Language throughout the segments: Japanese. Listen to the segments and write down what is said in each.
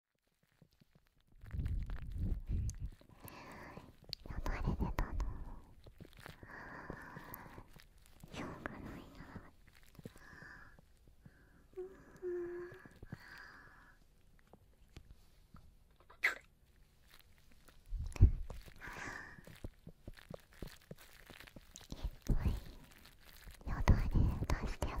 呼ばれてたのしょうがないなうんいっぱいよだれ出してもいいよ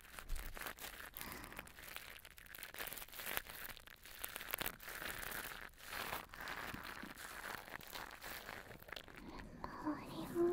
周りも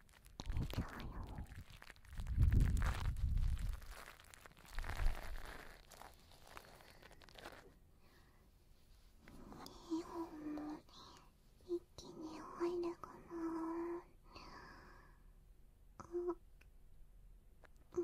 寝ちゃうよ2本も一気に入るかなあうん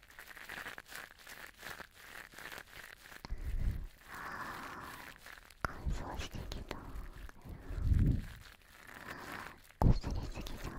乾燥してきたこすりすぎちゃった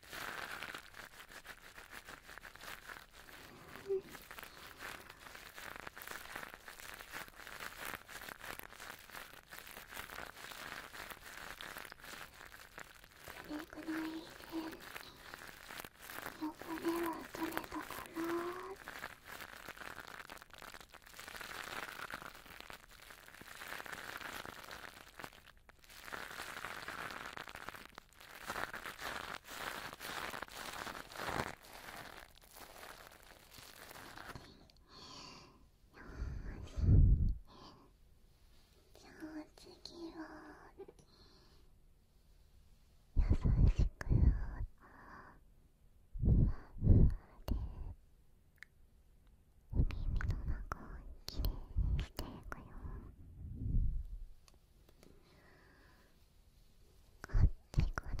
うん。どれくらいでの骨は取れたかなゃあ次は優しくふわふわで。お耳の中をきれいにしていくよこっちからこっ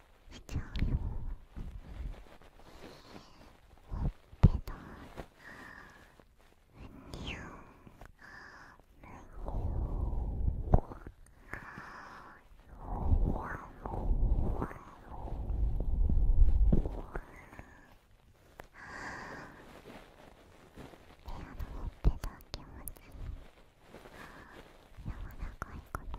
しちゃうよほっぺたにゅうペラのほっぺ気持ち柔らかいこと…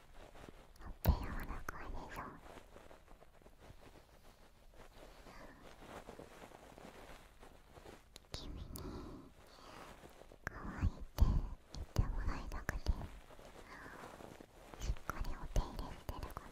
っぺ柔らかいでしょ君に乾いて言ってもらいたくてしっかりお手入れしてるから。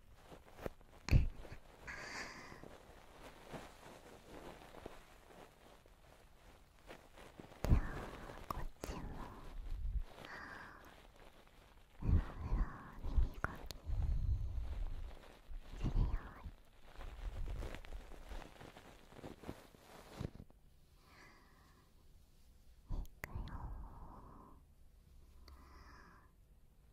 じゃあこっちもふらふら耳かきするよいくよ。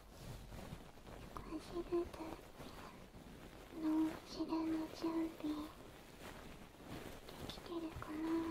走るだけの後ろの準備できてるかなあ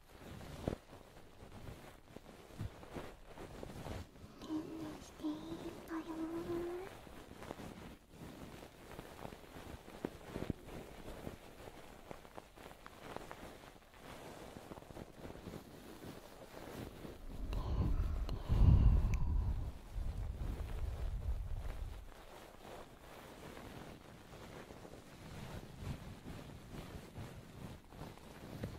ねんねしていいのよねんね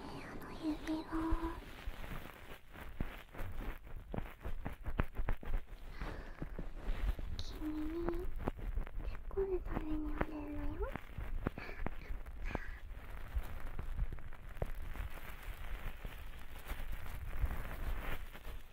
アの指が。君に結婚るためにあげるのよあ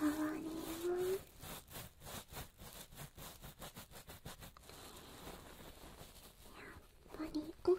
周りもやっぱり奥を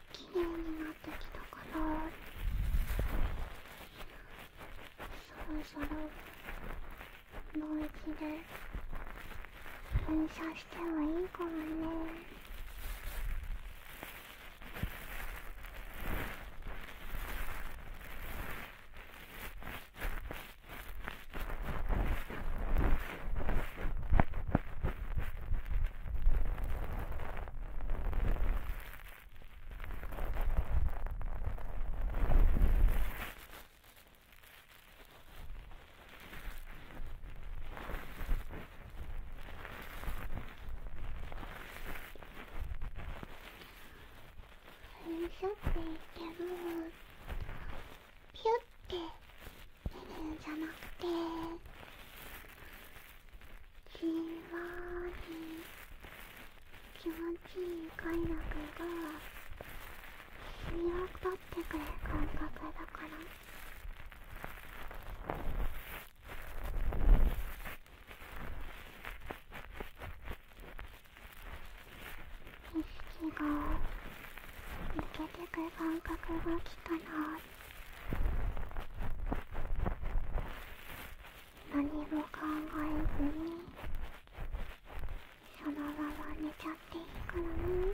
綺麗になってきたからそろそろもう一度噴射してはいいかもね。あしょって言ってもピュッて出るんじゃなくてじんわり気持ちいい快楽が身を取ってくる感覚だから。意識が抜けてく感覚が来たら何も考えずにそのまま寝ちゃっていいからね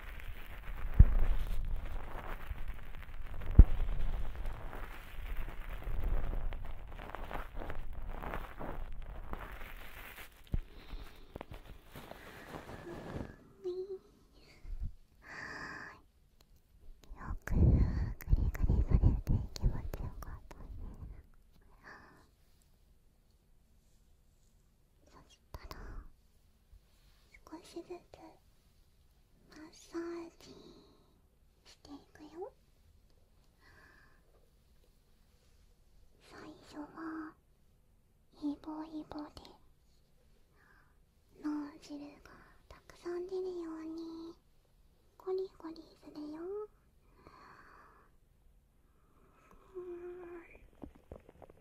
よくグリグリされて気持ちよかったね。そしたら少しずつマッサージしていくよ最初はイボイボで脳汁がたくさん出るようにゴリゴリするようん